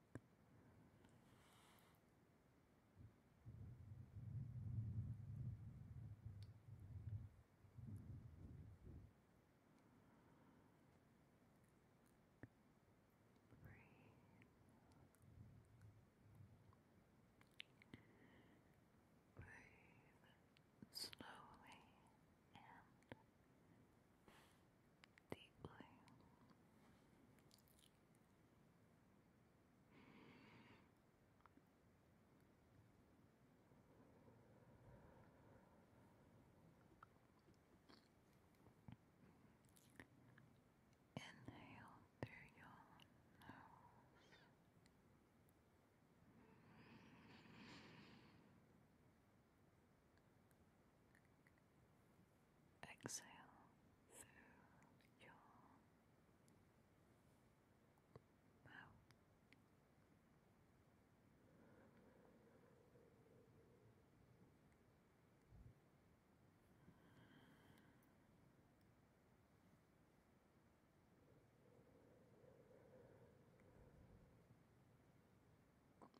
Breathe. Breathe slowly and deeply. Inhale through your nose exhale through your mouth.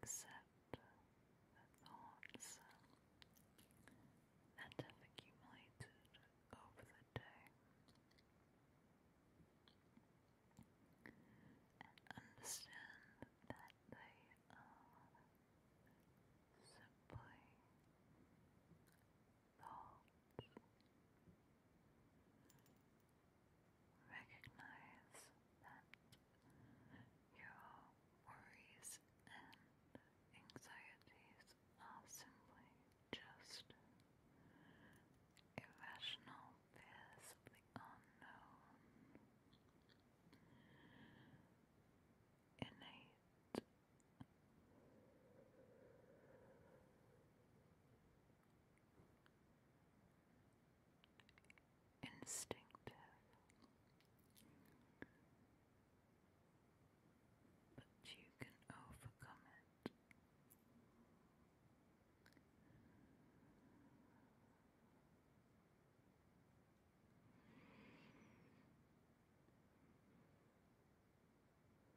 Accept the thoughts that have accumulated over the day and understand that they are simply thoughts. Recognize that your worries and anxieties are simply just irrational fears of the unknown, innate instinctive, but you can overcome it.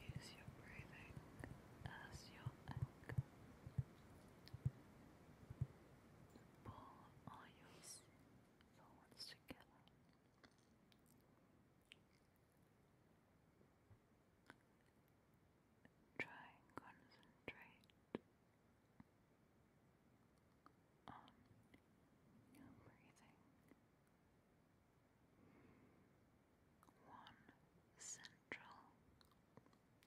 Use your breathing as your anchor. Pull all your thoughts together try and concentrate on breathing. One central thought instead of many.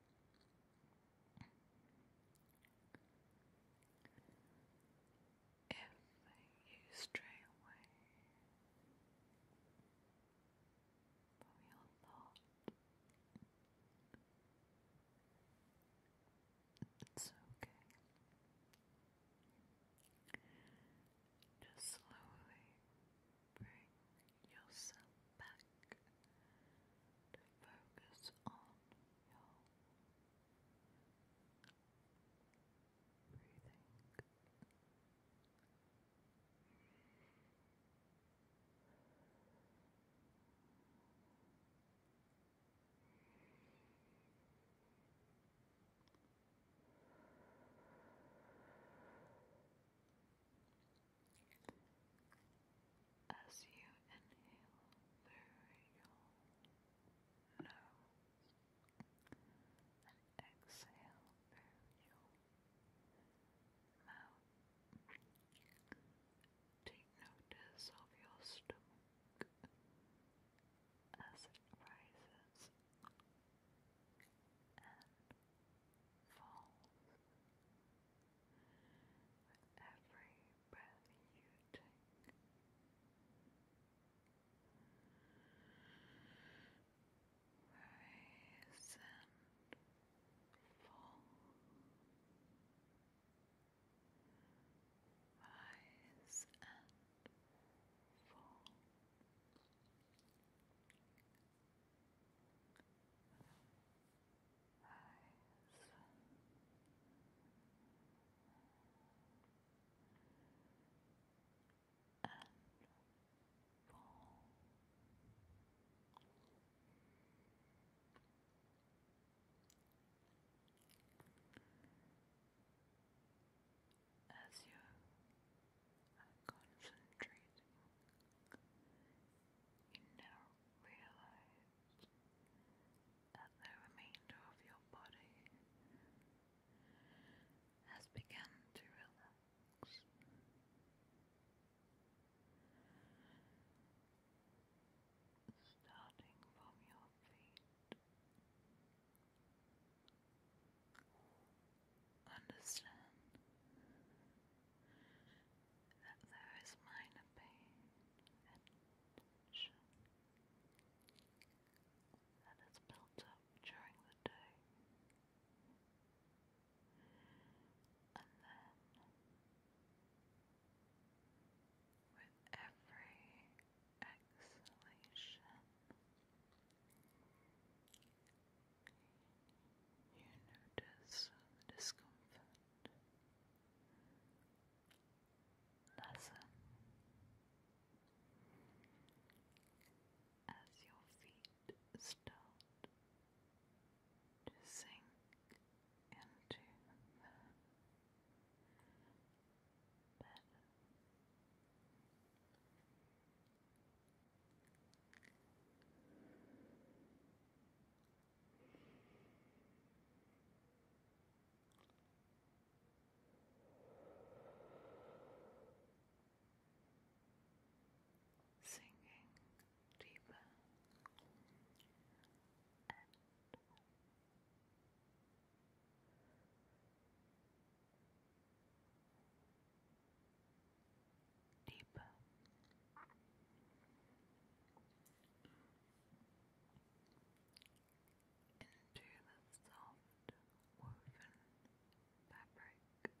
If you stray away from your thought, it's okay. Just slowly bring yourself back to focus on your breathing. As you inhale through your nose and exhale through your mouth, take notice of your stomach as it rises and fall. With every breath you take. Rise and fall. Rise and fall eyes. And fall. As you and You now realize that the remainder of your body has begun to relax. Starting from your feet, understand that there is minor pain and tension built up during the day, and then with every exhalation. You notice the discomfort lessen as your feet start to sink into the bed. Singing deeper and deeper. Into the soft woven fabric with every breath.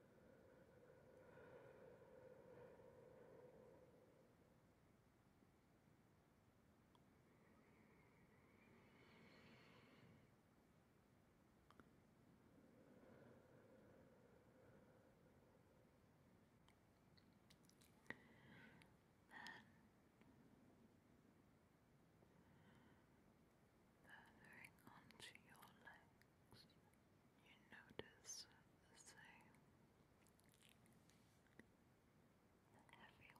Then, furthering onto your leg you notice the same the heavy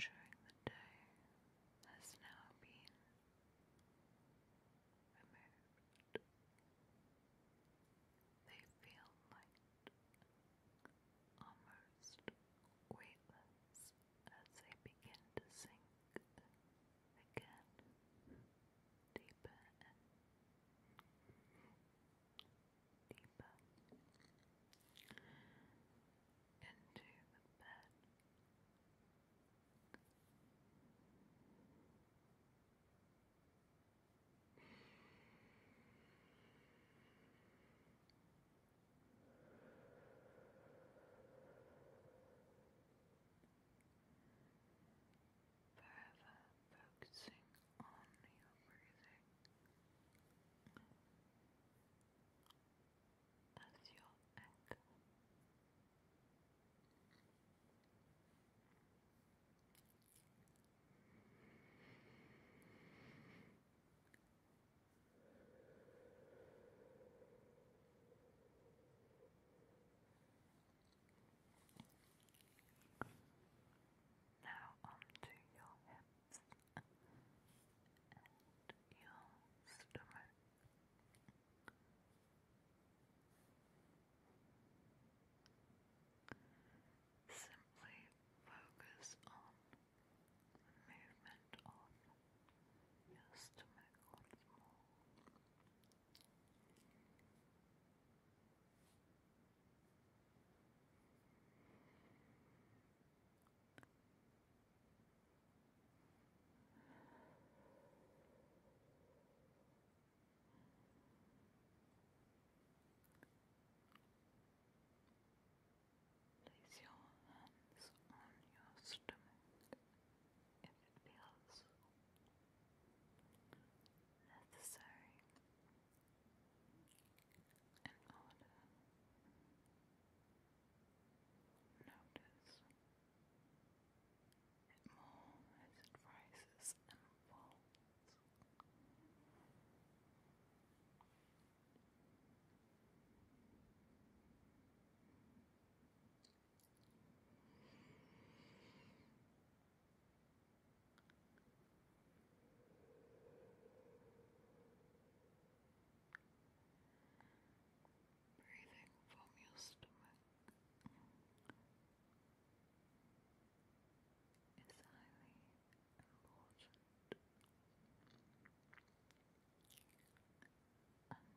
during the day has now been removed. They feel light, almost weightless as they begin to sink again deeper and deeper into the bed. Forever focusing on your breathing as your anchor. Now onto your hips and your stomach. Simply focus on movement of your stomach Place your hands on your stomach if it feels necessary in order notice it more as it rises and falls. Breathing from your stomach is highly important and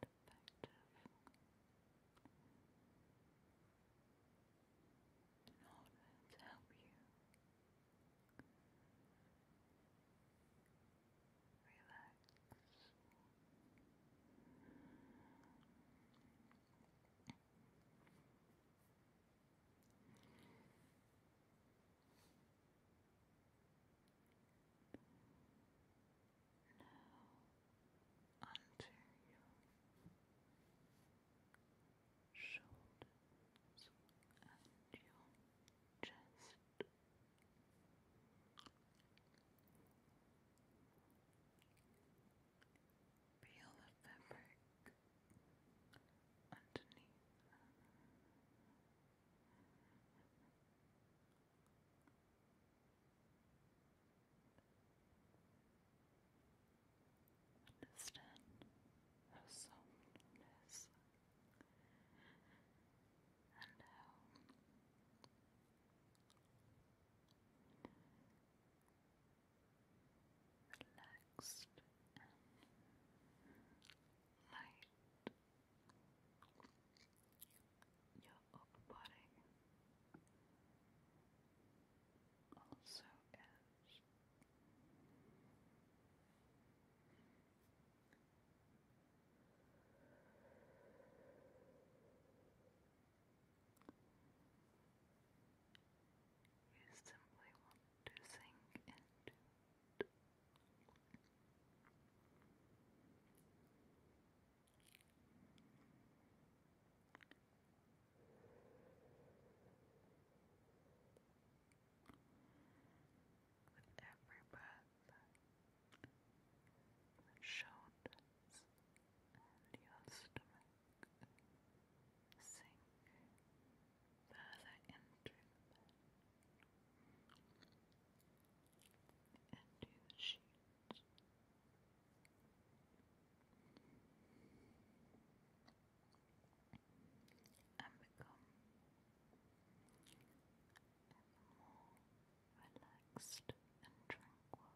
perspective. In order to help you relax. Now, now onto your shoulders and your chest. Feel the fabric underneath Understand how softness and how relaxed light your of also is you simply want to sink into with every breath, your sink further into into the sheet and become ever more relaxed and tranquil. Relax.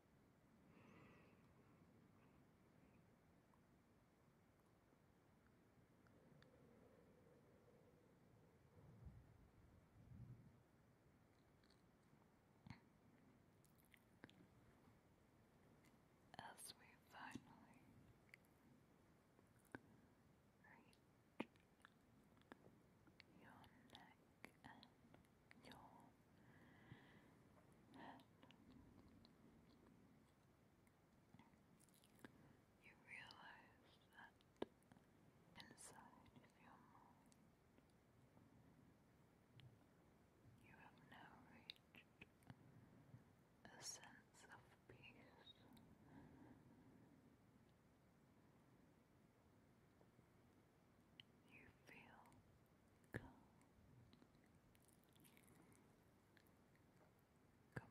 As we finally reach your neck and your head. You realize that inside your mind you have now reached a sense of peace you feel calm, and have an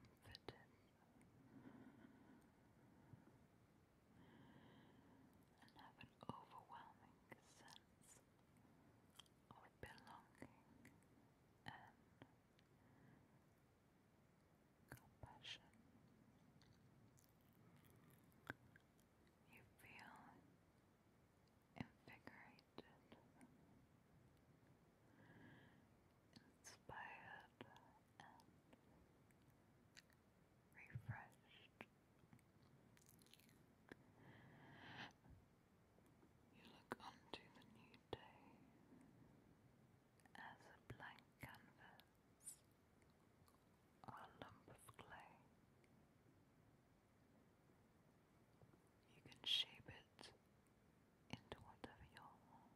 overwhelming sense of belonging and compassion. You feel invigorated, inspired, and refreshed. You look onto the new day as a blank canvas are a lump of clay. You can shape it into whatever your desires.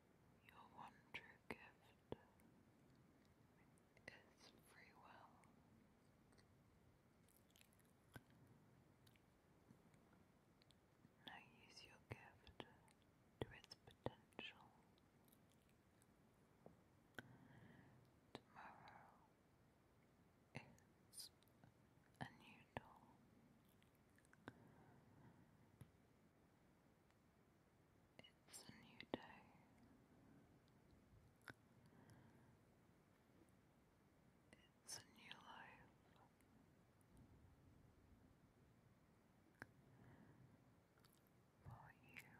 Your one true gift is free will. Now use your gift to its potential. Tomorrow is a new dawn. It's a new day. It's a new life. For you.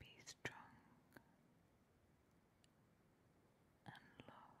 Be strong and love